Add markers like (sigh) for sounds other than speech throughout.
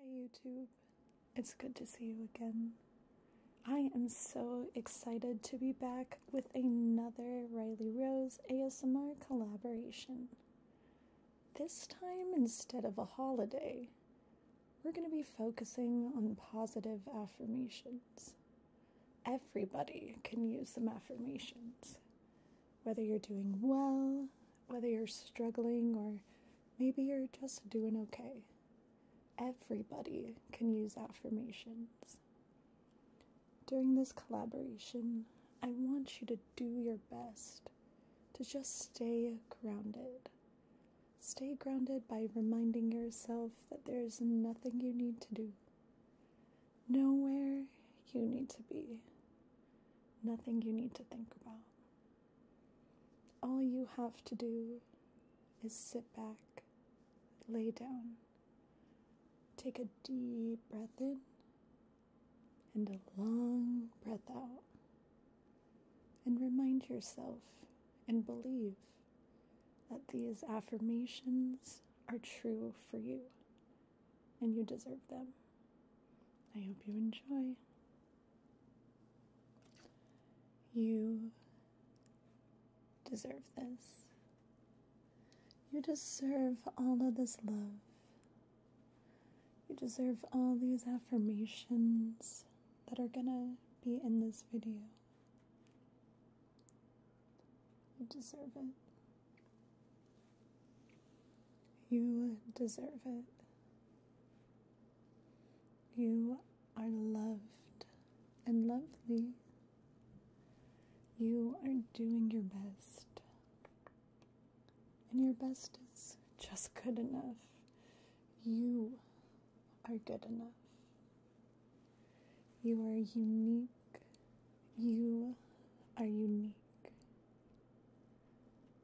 Hi YouTube, it's good to see you again. I am so excited to be back with another Riley Rose ASMR collaboration. This time, instead of a holiday, we're going to be focusing on positive affirmations. Everybody can use some affirmations. Whether you're doing well, whether you're struggling or maybe you're just doing okay. Everybody can use affirmations. During this collaboration, I want you to do your best to just stay grounded. Stay grounded by reminding yourself that there is nothing you need to do, nowhere you need to be, nothing you need to think about all you have to do is sit back, lay down, take a deep breath in and a long breath out, and remind yourself and believe that these affirmations are true for you and you deserve them. I hope you enjoy. You deserve this. You deserve all of this love. You deserve all these affirmations that are gonna be in this video. You deserve it. You deserve it. You are loved and lovely. You are doing your best. And your best is just good enough. You are good enough. You are unique. You are unique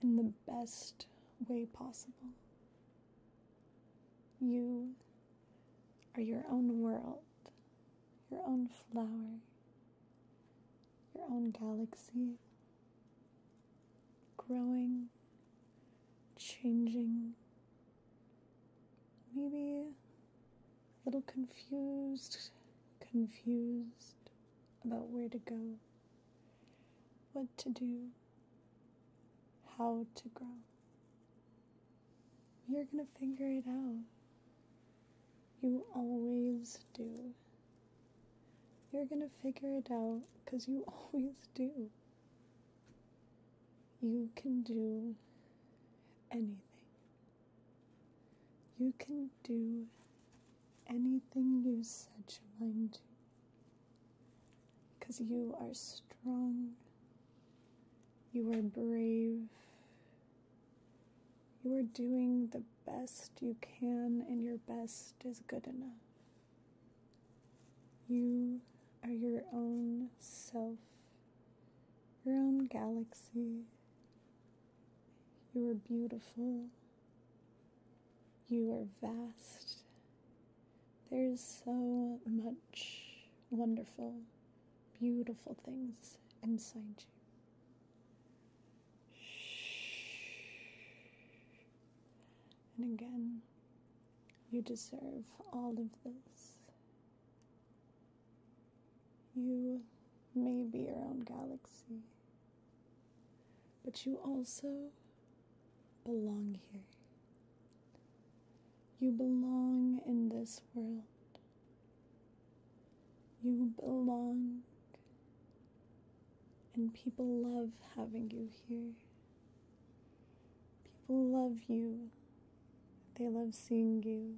in the best way possible. You are your own world, your own flower, your own galaxy, growing, changing, maybe a little confused, confused about where to go, what to do how to grow. You're gonna figure it out. You always do. You're gonna figure it out because you (laughs) always do. You can do anything. You can do anything you set your mind to. Because you are strong, you are brave, you are doing the best you can, and your best is good enough. You are your own self, your own galaxy. You are beautiful. You are vast. There's so much wonderful, beautiful things inside you. And again, you deserve all of this. You may be your own galaxy. But you also belong here. You belong in this world. You belong, and people love having you here. People love you. They love seeing you.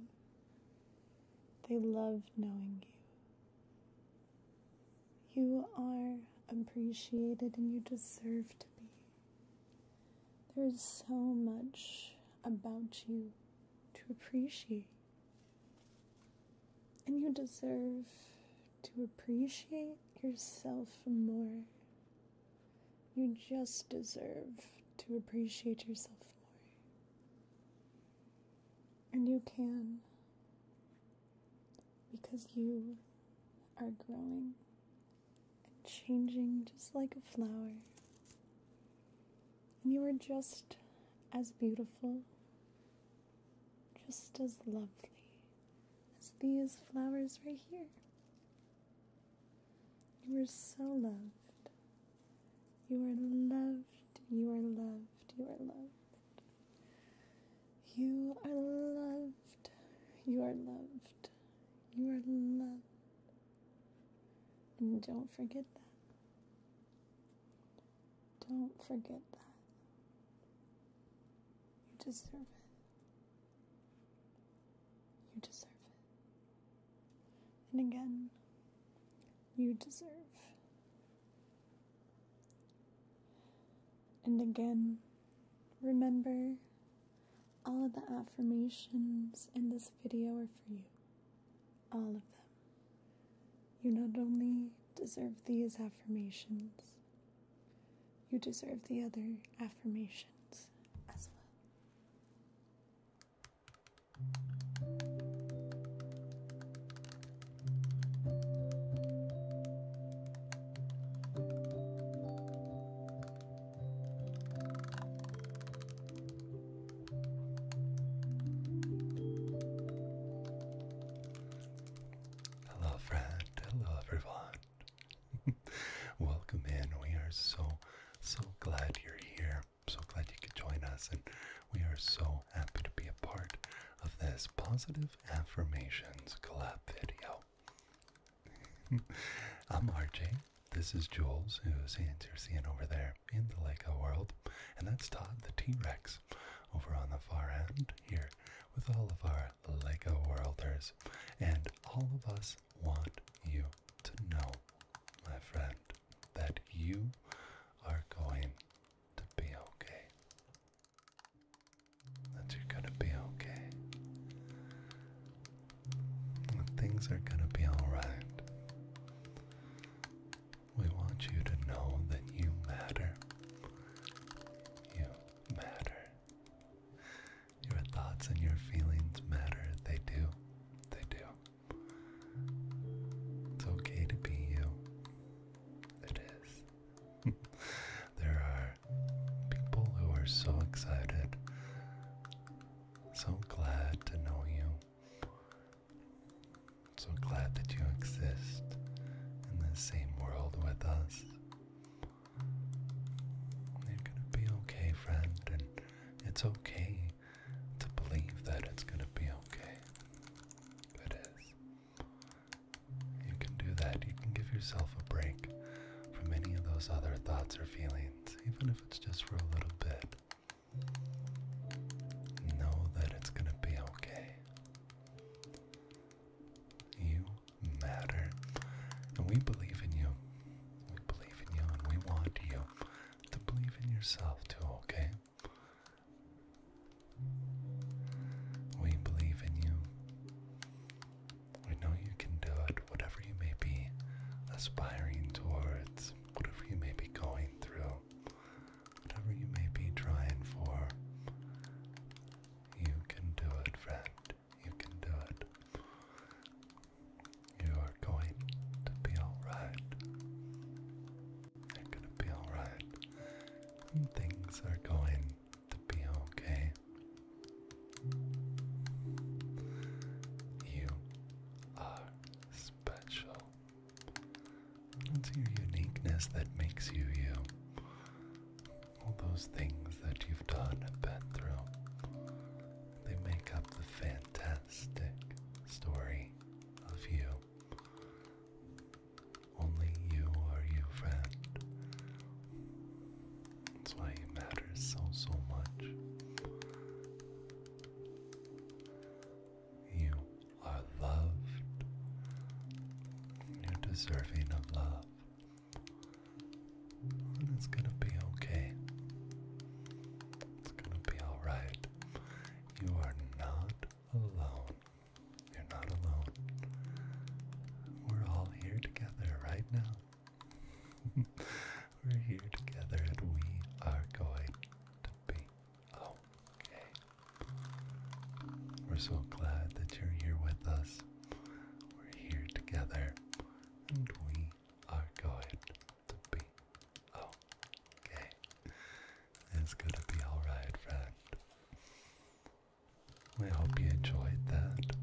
They love knowing you. You are appreciated and you deserve to be. There is so much about you to appreciate. And you deserve to appreciate yourself more. You just deserve to appreciate yourself more. And you can because you are growing and changing just like a flower. And you are just as beautiful, just as lovely as these flowers right here. You are so loved. You are loved. You are loved. You are loved. You are loved. You are loved. You are loved. And don't forget that. Don't forget that. You deserve it. You deserve it. And again, you deserve and again, remember all of the affirmations in this video are for you. All of them. You not only deserve these affirmations, you deserve the other affirmations as well. Hello, friend. Hello, everyone. (laughs) Welcome in. We are so, so glad you're here. so glad you could join us, and we are so happy to be a part of this positive affirmations collab video. (laughs) I'm RJ. This is Jules, who's you're seeing over there in the Lego world, and that's Todd the T-Rex over on the far end here with all of our Lego worlders, and all of us want you to know, my friend, that you are going to be okay that you're gonna be okay. That things are gonna be alright. We want you to know that you matter. You matter. Your thoughts and your feelings matter. They do. They do. It's okay to be you. It is. (laughs) there are people who are so excited, so glad to know you, so glad that you exist in the same world with us. you gonna be okay, friend, and it's okay to believe that it's gonna be okay. It is. You can do that. You can give yourself a break from any of those other thoughts or feelings, even if it's just for a little bit. Know that it's going to be okay. You matter. And we believe in you. We believe in you and we want you to believe in yourself too, okay? We believe in you. We know you can do it, whatever you may be aspiring towards, whatever you may be going through, whatever you may be trying for. You can do it, friend. You can do it. You are going to be alright. You're going to be alright. Things are going to be okay. You are special. It's your uniqueness that makes you you. All those things that you've done been through, they make up the fantastic story of you. Only you are you, friend. That's why it matters so, so much. You are loved. You're deserving of love. And it's gonna be okay. It's gonna be alright. You are not alone. You're not alone. We're all here together right now. (laughs) We're here together and we are going to be okay. We're so glad that you're here with us. We're here together and we are going to be okay. It's gonna be alright, friend. We hope you enjoyed that.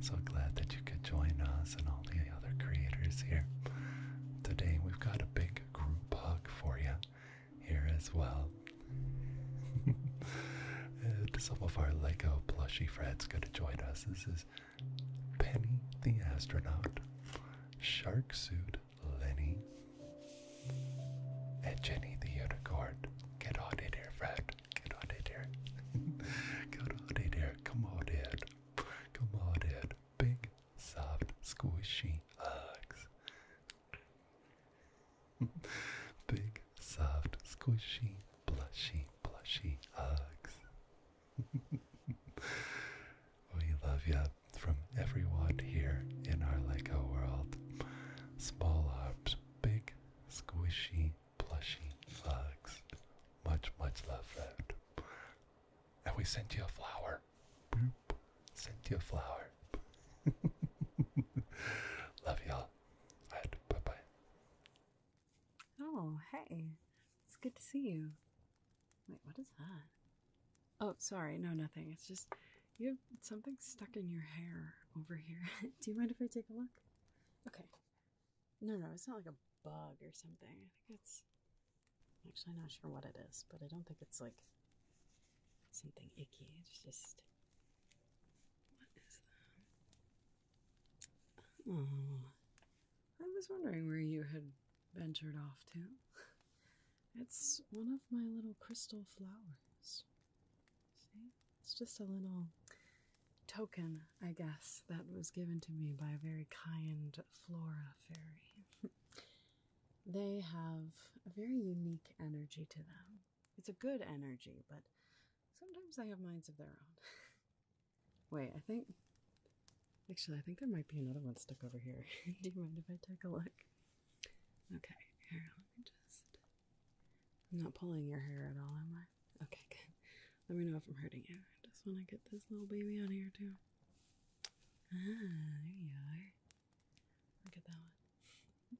So glad that you could join us and all the other creators here. Today we've got a big group hug for you here as well. (laughs) some of our Lego plushie friends gonna join us. This is Penny the astronaut, Shark Suit Lenny, and Jenny the unicorn. Get on in here, Fred. Get out of here. Get out Come on in. Come on in. Big, soft, squishy hugs. (laughs) Big, soft, squishy, blushy, blushy hugs. (laughs) we love you from everyone here in our Lego world. Small arms, big squishy, plushy hugs. Much, much love, Fred. And we sent you a flower. Sent you a flower. (laughs) love y'all. All bye bye. Oh, hey. It's good to see you. Wait, what is that? Oh, sorry. No, nothing. It's just you have something stuck in your hair over here. (laughs) Do you mind if I take a look? Okay. No, no, it's not like a bug or something. it's. actually not sure what it is, but I don't think it's like something icky. It's just. What is that? Oh. I was wondering where you had ventured off to. (laughs) It's one of my little crystal flowers. It's just a little token, I guess, that was given to me by a very kind flora fairy. (laughs) they have a very unique energy to them. It's a good energy, but sometimes they have minds of their own. (laughs) Wait, I think. Actually, I think there might be another one stuck over here. (laughs) Do you mind if I take a look? Okay, here, let me just I'm not pulling your hair at all, am I? Okay, good. Let me know if I'm hurting you. I just want to get this little baby out of here, too. Ah, there you are. Look at that one.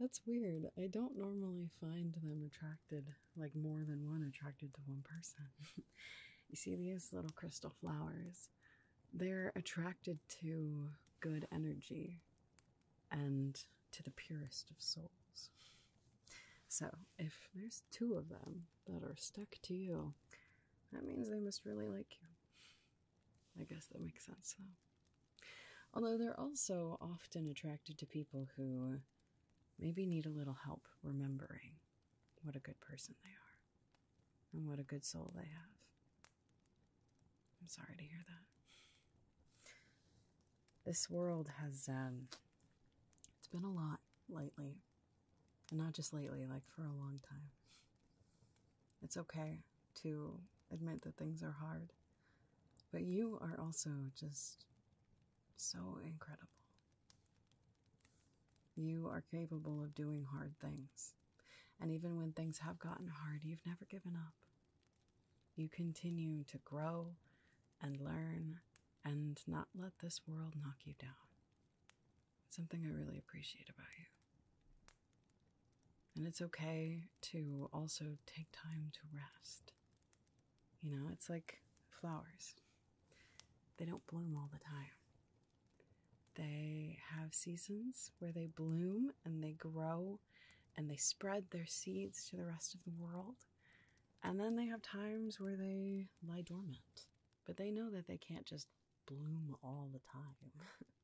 That's weird. I don't normally find them attracted, like more than one attracted to one person. (laughs) you see these little crystal flowers? They're attracted to good energy and to the purest of souls. So, if there's two of them that are stuck to you, that means they must really like you. I guess that makes sense, though. Although they're also often attracted to people who maybe need a little help remembering what a good person they are and what a good soul they have. I'm sorry to hear that. This world has, um, it's been a lot lately. And not just lately, like for a long time. It's okay to admit that things are hard. But you are also just so incredible. You are capable of doing hard things. And even when things have gotten hard, you've never given up. You continue to grow and learn and not let this world knock you down. something I really appreciate about you. And it's okay to also take time to rest. You know, it's like flowers, they don't bloom all the time. They have seasons where they bloom and they grow and they spread their seeds to the rest of the world. And then they have times where they lie dormant. But they know that they can't just bloom all the time.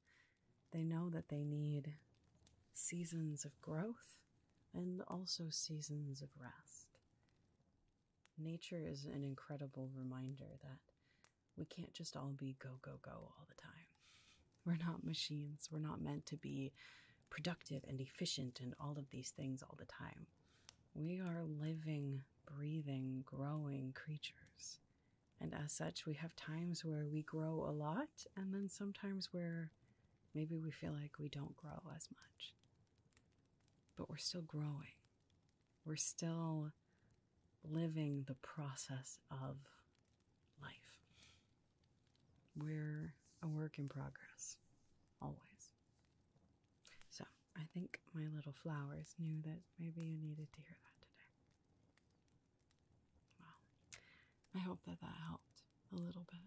(laughs) they know that they need seasons of growth and also seasons of rest. Nature is an incredible reminder that we can't just all be go, go, go all the time. We're not machines. We're not meant to be productive and efficient and all of these things all the time. We are living, breathing, growing creatures. And as such, we have times where we grow a lot, and then sometimes where maybe we feel like we don't grow as much. But we're still growing. We're still living the process of life we're a work in progress, always. So I think my little flowers knew that maybe you needed to hear that today. Well, I hope that that helped a little bit.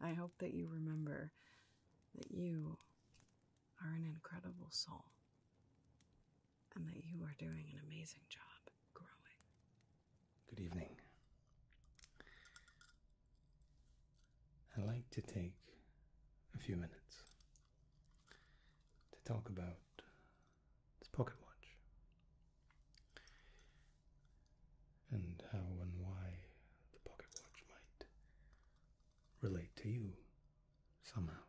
I hope that you remember that you are an incredible soul and that you are doing an amazing job growing Good evening. I'd like to take a few minutes to talk about this pocket watch and how and why the pocket watch might relate to you somehow.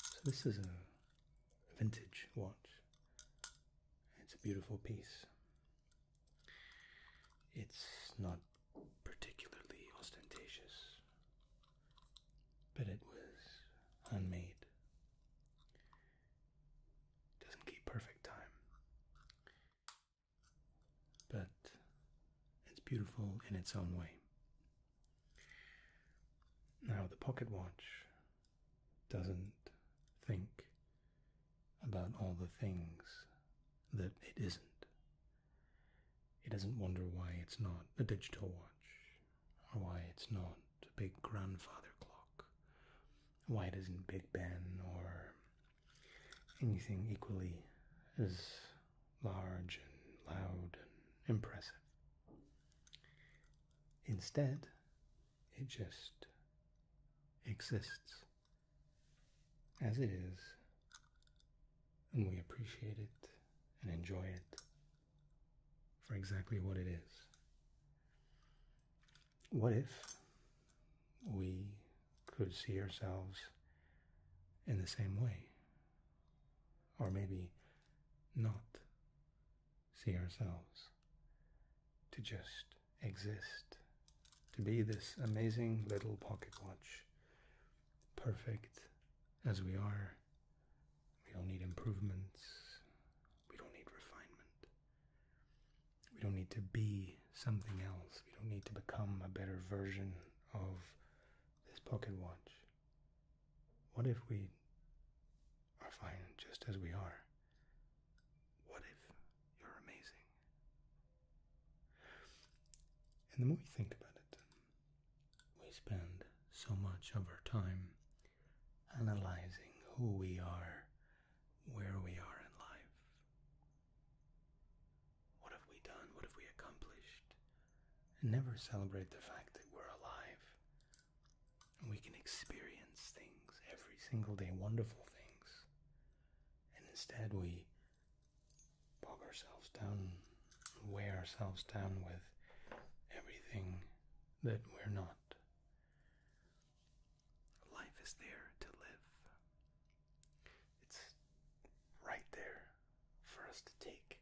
So, this is a vintage watch. It's a beautiful piece. It's not particularly ostentatious, but it was handmade. Doesn't keep perfect time, but it's beautiful in its own way. Now, the pocket watch doesn't think about all the things that it isn't. It doesn't wonder why it's not a digital watch, or why it's not a big grandfather clock, why it isn't Big Ben or anything equally as large and loud and impressive. Instead, it just exists as it is, and we appreciate it and enjoy it for exactly what it is. What if we could see ourselves in the same way? Or maybe not see ourselves to just exist, to be this amazing little pocket watch, perfect as we are. We don't need improvements. We don't need refinement. We don't need to be something else. We don't need to become a better version of this pocket watch. What if we are fine just as we are? What if you're amazing? And the more you think about it, we spend so much of our time analyzing who we are, where we are in life. What have we done? What have we accomplished? And never celebrate the fact that we're alive, we can experience things every single day, wonderful things. And instead, we bog ourselves down, weigh ourselves down with everything that we're not. Life is there to live, it's right there for us to take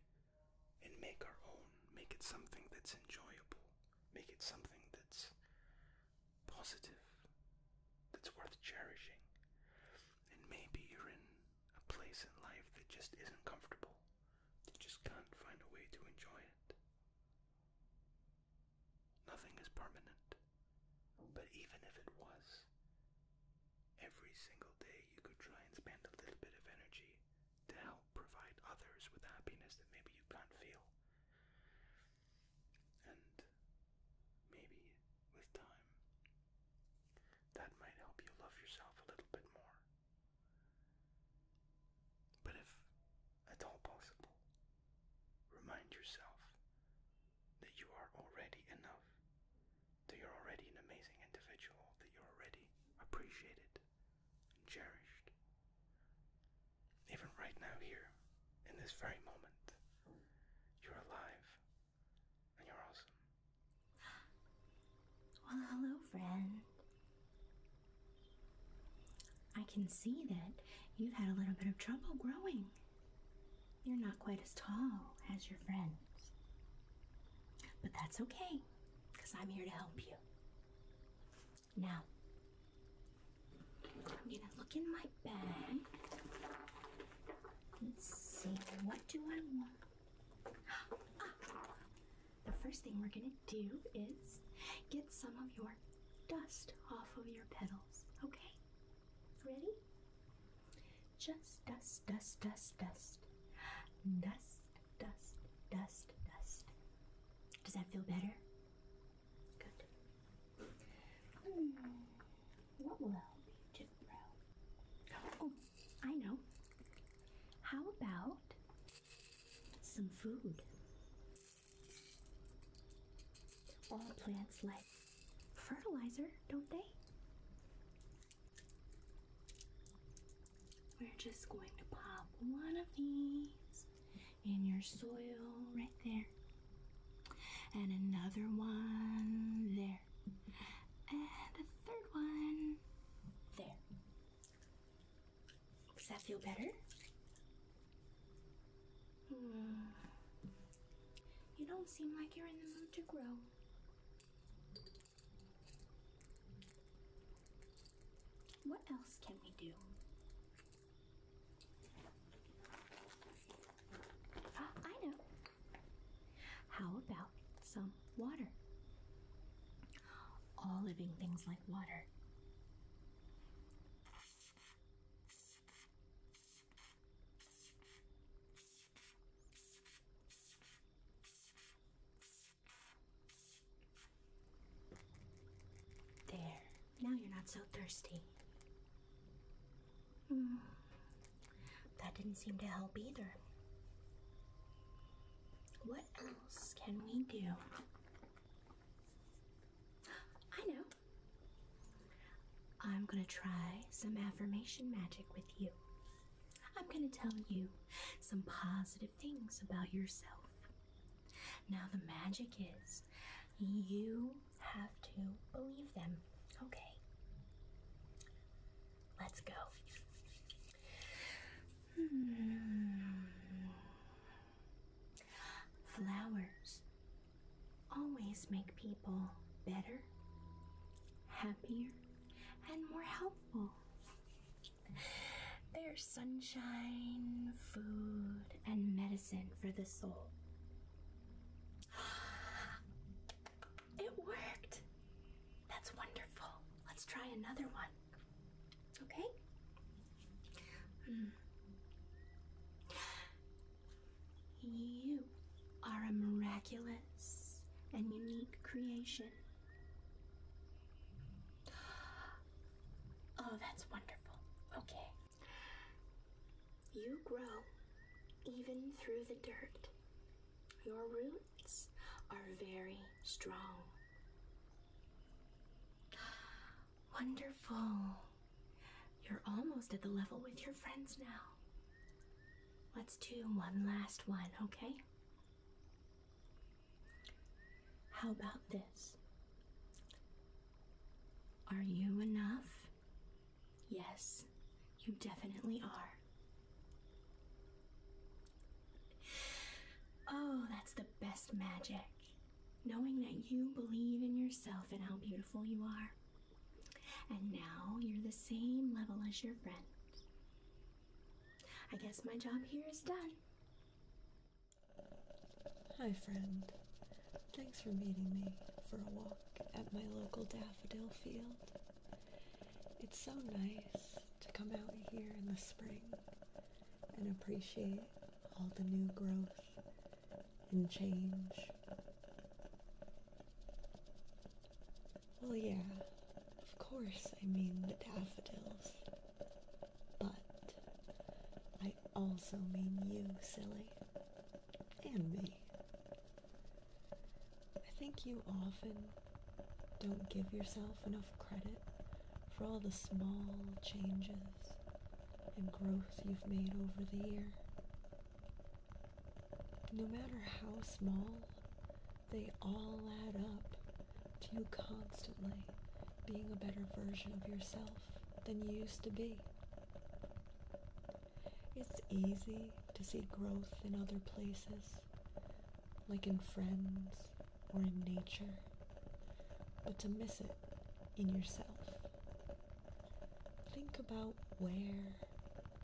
and make our own, make it something that's enjoyable. Make it something that's positive, that's worth cherishing. And maybe you're in a place in life that just isn't comfortable, you just can't find a way to enjoy it. Nothing is permanent, but even if it was, every single day you could try and spend a little bit of energy to help provide others with happiness that maybe you can't feel. And maybe with time, that might help you love yourself a little bit more. But if at all possible, remind yourself that you are already enough, that you're already an amazing individual, that you're already appreciated, and cherished. Even right now, here, in this very moment, you're alive and you're awesome. Well, hello, friend. I can see that you've had a little bit of trouble growing. You're not quite as tall as your friends. But that's okay, because I'm here to help you. Now, I'm gonna look in my bag. Let's see, what do I want? (gasps) the first thing we're gonna do is get some of your dust off of your petals, okay? Ready? Just dust, dust, dust, dust. Dust, dust, dust, dust. Does that feel better? Good. Hmm. What will I be tomorrow? Oh, I know. How about some food? All plants like fertilizer, don't they? We're just going to pop one of these in your soil right there. And another one there. And a third one there. Does that feel better? Hmm. You don't seem like you're in the mood to grow. What else can we do? (gasps) I know. How about some water? All living things like water. There. Now you're not so thirsty. Mm. That didn't seem to help either. What else can we do? I know. I'm going to try some affirmation magic with you. I'm going to tell you some positive things about yourself. Now, the magic is you have to believe them. Okay. Let's go. Hmm. Flowers always make people better, happier, and more helpful. They're sunshine, food, and medicine for the soul. (gasps) It worked! That's wonderful. Let's try another one. Okay? Hmm. You are a miraculous and unique creation. Oh, that's wonderful. Okay. You grow even through the dirt. Your roots are very strong. Wonderful. You're almost at the level with your friends now. Let's do one last one, okay? How about this? Are you enough? Yes, you definitely are. Oh, that's the best magic. Knowing that you believe in yourself and how beautiful you are. And now you're the same level as your friend. I guess my job here is done. Hi, friend. Thanks for meeting me for a walk at my local daffodil field. It's so nice to come out here in the spring and appreciate all the new growth and change. Well, yeah, of course, I mean the daffodils. But I also mean you, silly. And me. I think you often don't give yourself enough credit for all the small changes and growth you've made over the year. No matter how small, they all add up to you constantly being a better version of yourself than you used to be. It's easy to see growth in other places, like in friends or in nature, but to miss it in yourself. Think about where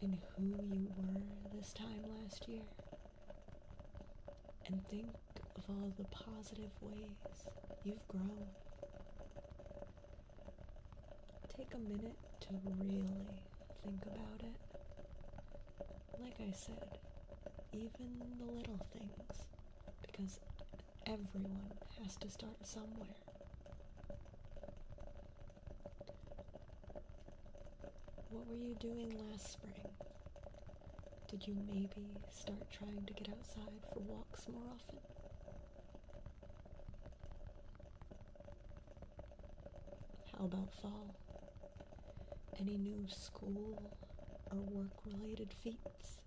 and who you were this time last year, and think of all the positive ways you've grown. Take a minute to really think about it. Like I said, even the little things, because everyone has to start somewhere. What were you doing last spring? Did you maybe start trying to get outside for walks more often? How about fall? Any new school or work related feats?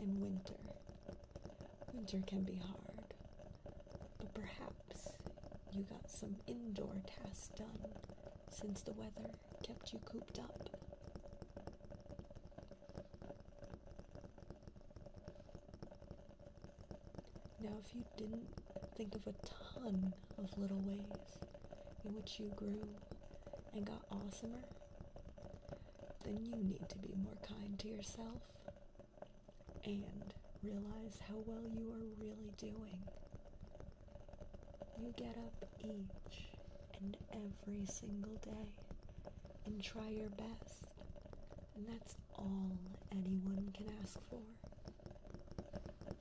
In winter, winter can be hard, but perhaps you got some indoor tasks done since the weather kept you cooped up. Now, if you didn't think of a ton of little ways in which you grew and got awesomer, then you need to be more kind to yourself and realize how well you are really doing you get up each and every single day and try your best, and that's all anyone can ask for.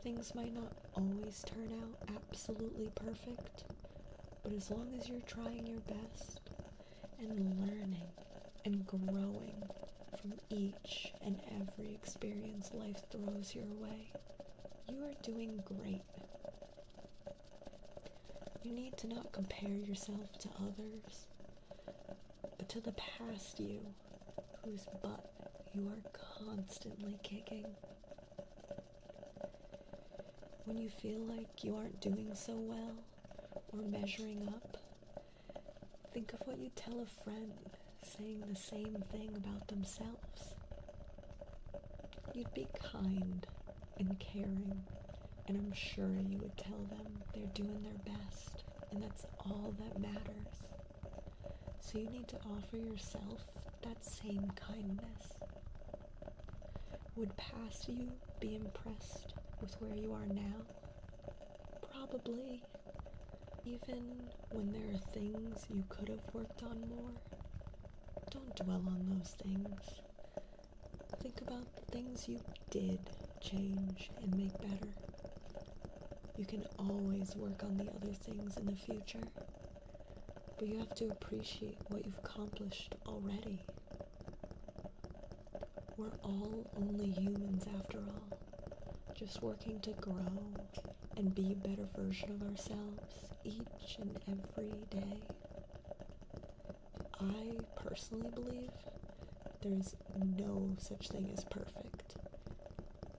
Things might not always turn out absolutely perfect, but as long as you're trying your best and learning and growing from each and every experience life throws your way. You are doing great. You need to not compare yourself to others, but to the past you, whose butt you are constantly kicking. When you feel like you aren't doing so well or measuring up, Think of what you would tell a friend saying the same thing about themselves. You'd be kind and caring, and I'm sure you would tell them they're doing their best, and that's all that matters. So you need to offer yourself that same kindness. Would past you be impressed with where you are now? Probably. Even when there are things you could have worked on more, don't dwell on those things. Think about the things you did change and make better. You can always work on the other things in the future, but you have to appreciate what you've accomplished already. We're all only humans after all, just working to grow and be a better version of ourselves each and every day. I personally believe there's no such thing as perfect.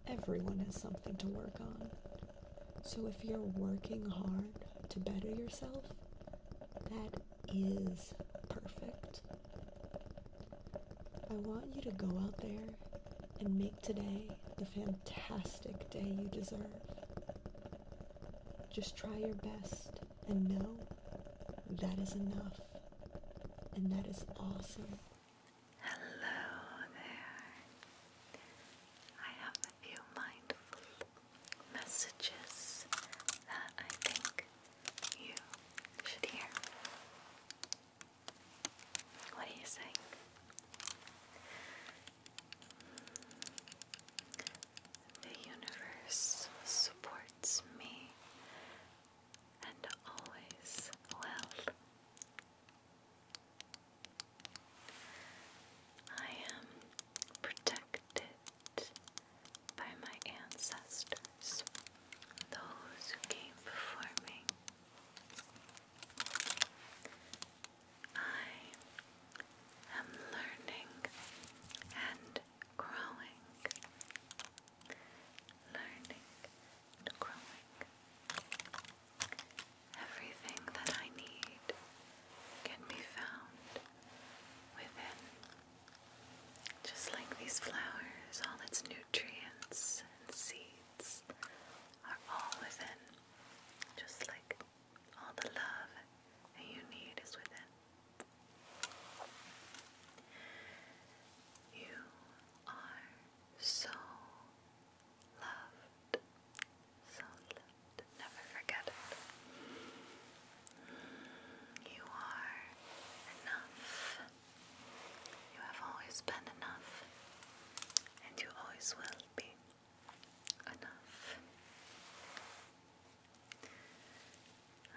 Everyone has something to work on. So if you're working hard to better yourself, that is perfect. I want you to go out there and make today the fantastic day you deserve. Just try your best and know that is enough and that is awesome. Hello there. I have a few mindful messages that I think you should hear. What are you saying? The universe supports me and always will. I am protected by my ancestors, those who came before me. I am learning and growing, learning and growing. Everything that I need can be found within. Just like these flowers, all its nutrients and seeds hearts are all within. Just like all the love that you need is within. You are so loved. So loved. Never forget it. You are enough. You have always been enough, and you always will be enough.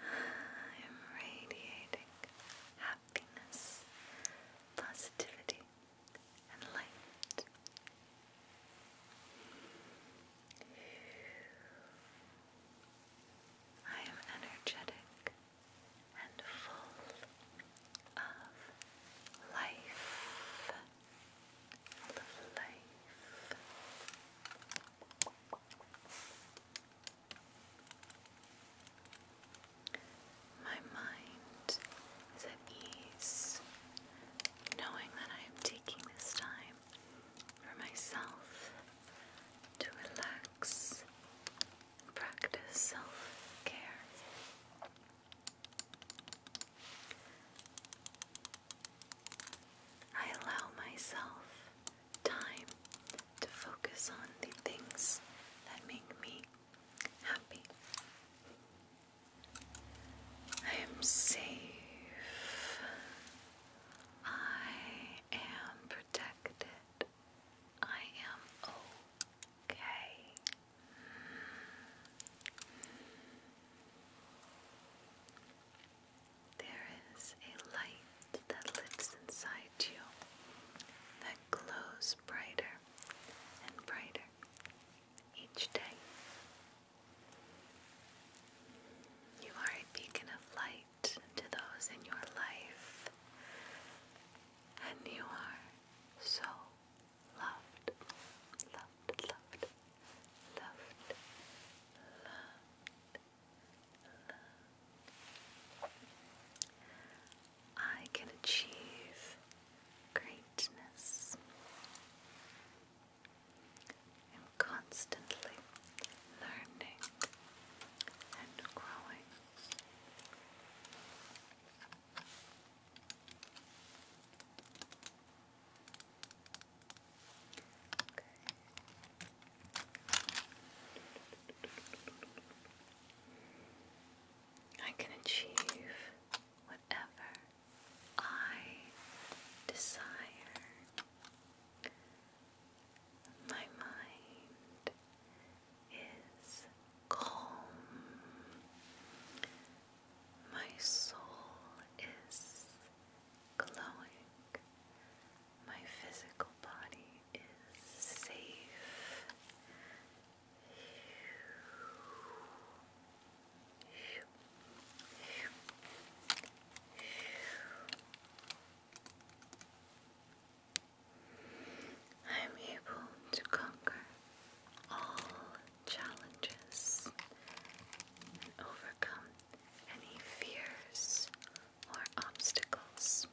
I (sighs) am radiating happiness, positivity, and light. I am energetic and full of life. life. My mind is at ease knowing that I am taking this time for myself to relax practice self care. I allow myself time to focus on the things that make me happy. I am safe. I am protected. I am okay. There is a light that lives inside you that glows brighter and brighter each day. You are a beacon of light to those in your life and you are so loved, loved, loved, loved, loved, loved. I can achieve greatness. I'm constantly learning and growing. I can achieve whatever I desire. My mind is calm. My soul is glowing. My physical body is safe. I am able to conquer all challenges and overcome any fears or obstacles.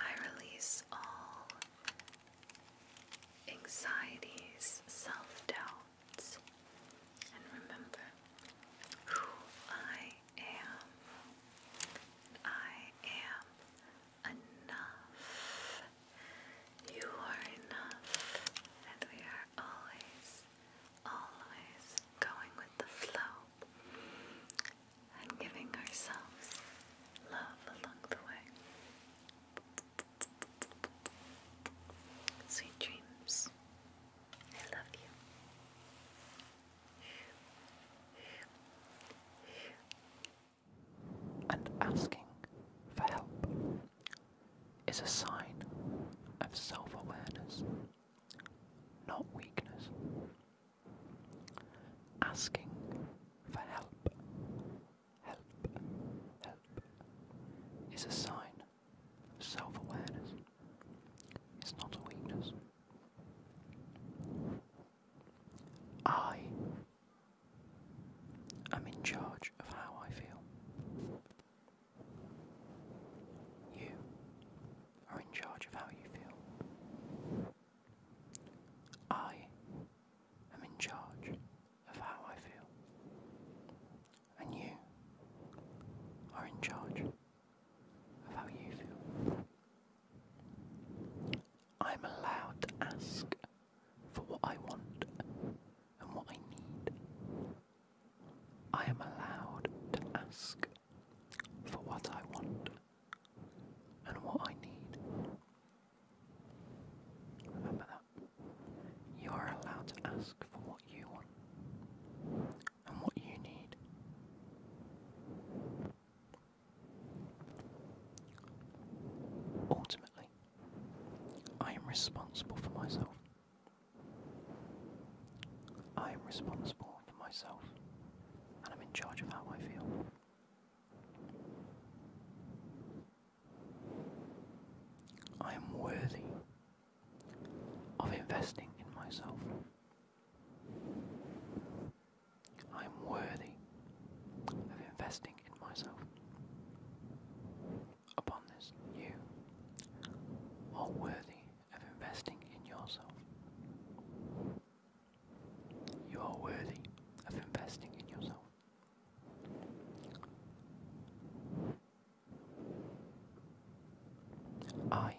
I release all anxieties, self doubts, and remember who I am. I am enough. You are enough. And we are always, always going with the flow and giving ourselves love along the way. Sweet dreams. I love you. And asking for help is a sign of self awareness, not weakness. Asking for help, help, help is a sign of self awareness, it's not a weakness. I am in charge of how I feel. You are in charge of how you feel. I am in charge of how I feel. And you are in charge of how you feel. I'm allowed to ask for what I want and what I need. I am allowed to ask for what I want and what I need. Remember that. You are allowed to ask for what you want and what you need. Ultimately, I am responsible for myself. I am responsible for myself, and I'm in charge of how I feel. I am worthy of investing in myself. I am worthy of investing in myself. Upon this, you are worthy of investing in yourself. You are worthy of investing in yourself. I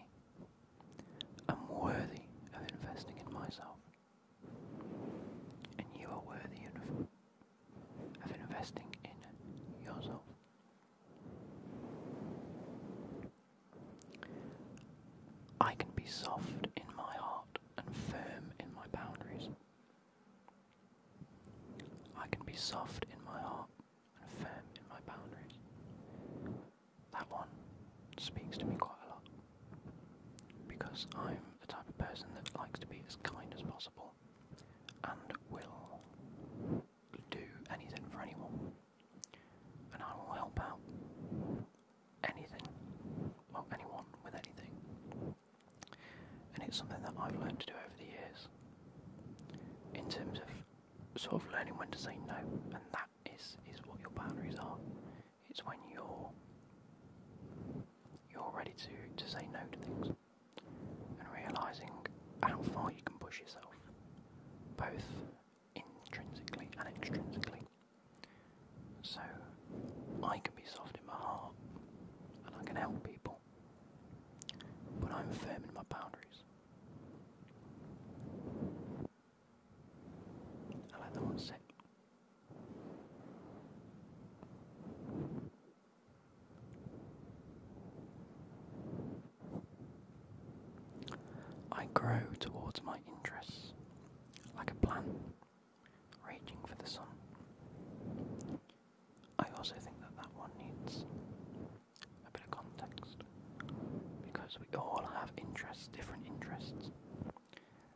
i am worthy of investing in myself. And you are worthy of, of investing in yourself. I can be soft in my heart and firm in my boundaries. I can be soft in my heart and firm in my boundaries that one speaks to me quite a lot because I'm the type of person that likes to be as kind as possible and will do anything for anyone. And I will help out anything, well, anyone with anything. And it's something that I've learned to do over the years in terms of sort of learning when to say no, and that that is is what your boundaries are. It's when you're you're ready to to say no to things and realizing how far you can push yourself, both intrinsically and extrinsically. So I can be soft in my heart and I can help people, but I'm firm in my boundaries. I grow towards my interests like a plant raging for the sun. I also think that that one needs a bit of context because we all have interests, different interests,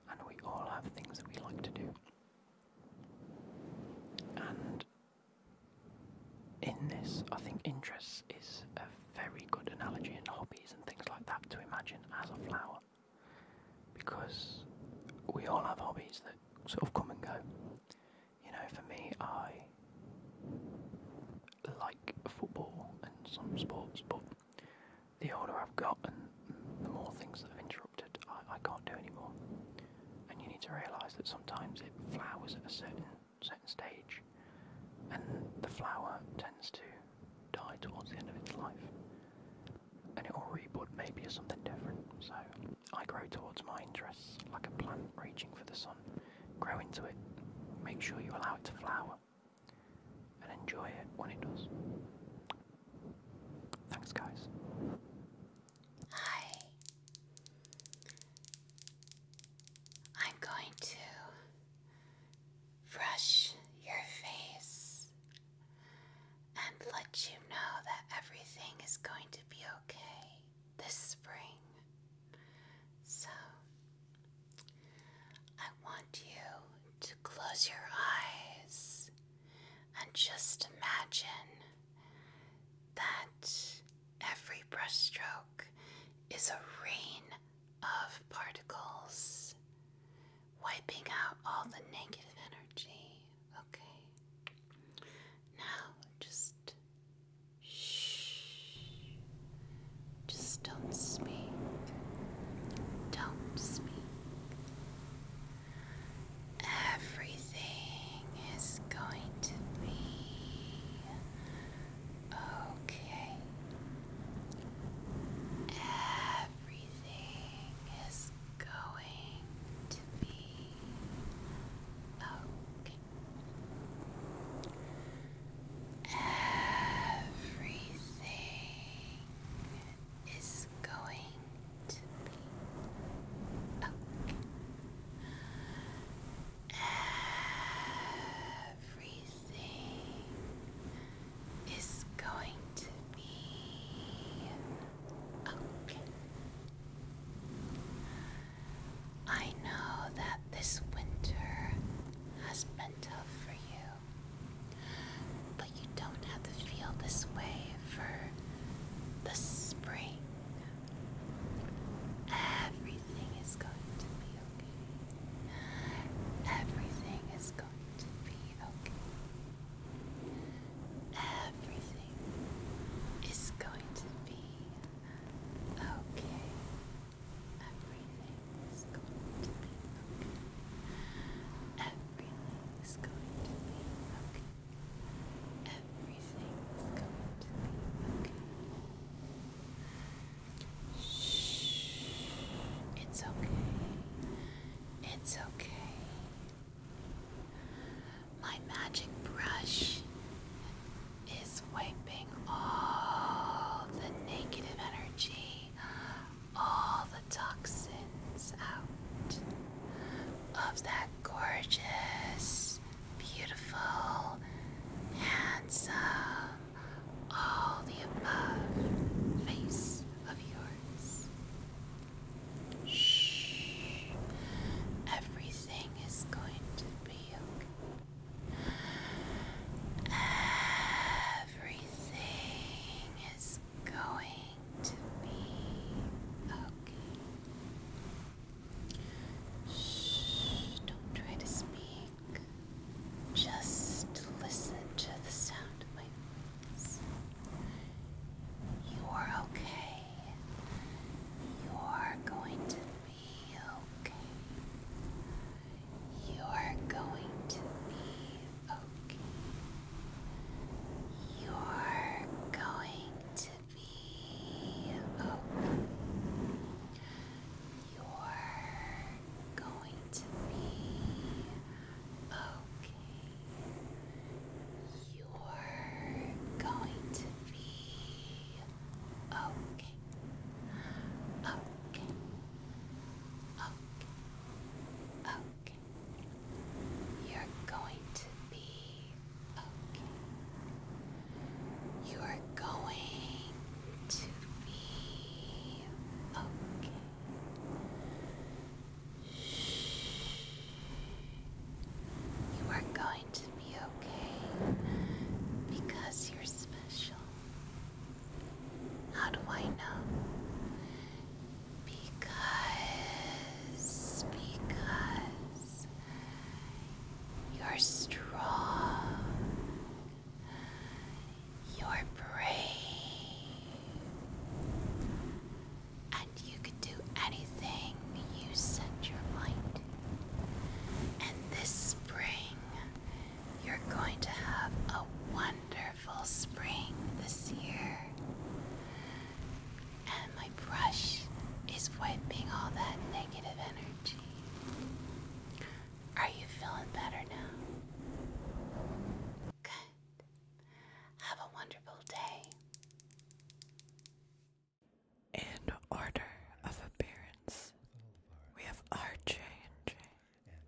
and we all have things that we like to do. And in this, I think interests is a very good analogy, and hobbies and things like that to imagine as a flower, because we all have hobbies that sort of come and go. You know, for me, I like football and some sports, but the older I've gotten, the more things that i have interrupted I, I can't do anymore. And you need to realise that sometimes it flowers at a certain certain stage, and the flower tends to die towards the end of its life, and it will rebud maybe as something different. So I grow towards my interests like a plant reaching for the sun. Grow into it. Make sure you allow it to flower and enjoy it when it does. Thanks, guys. Hi. I'm going to brush your face and let you know that everything is going to be okay this spring. So, I want you to close your eyes and just imagine that every brushstroke is a rain of particles wiping out all the negative energy. Okay. Now just shh. Just don't speak. Don't speak. Everything is going to be okay. Everything is going to be okay. Everything is going to be okay. Everything is going to be okay. I know that this winter has been tough for you. But you don't have to feel this way for the spring. Everything is going to be okay. Everything is going to be okay. Everything is going to be okay. Everything is going to be okay. Everything is going to be okay. Everything is going to be okay. Shh. It's okay. It's okay. My magic brush is wiping all the negative energy all the toxins out of that gorgeous, beautiful, handsome, all the above face of yours. Shh. Everything is going to be okay. Everything is going to be okay. Shh, don't try to speak. Just listen to the sound of my voice. You are okay. You are going to be okay. You're going to be okay. You're going to be okay. You're going to be okay. You're going to be okay. Okay. Okay. Okay. You're going to be okay. You're going to be okay. Shh. You are going to be okay because you're special. How do I know? Because, because you're strong, you're brave, and you can do anything you set your mind And this spring, you're going to have a wonderful spring this year. And my brush is wiping all that negative energy. Are you feeling better now? Good. Have a wonderful day. In order of appearance, we have our change.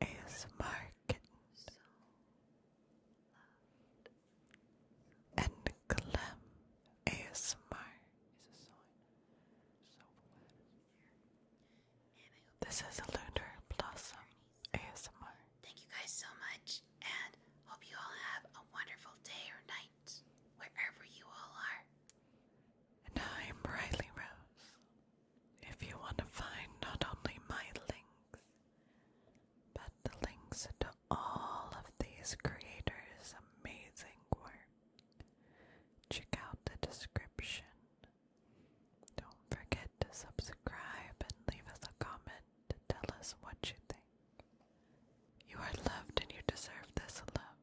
ASMR kitten and Clem ASMR This is a Lunar Blossom ASMR. Thank you guys so much and hope you all have a wonderful day or night wherever you all are. And I'm Riley Rose. If you want to find not only my links, but the links to all of these creators' amazing work, check out the description. Don't forget to subscribe and leave us a comment to tell us what you think. You are loved and you deserve this love.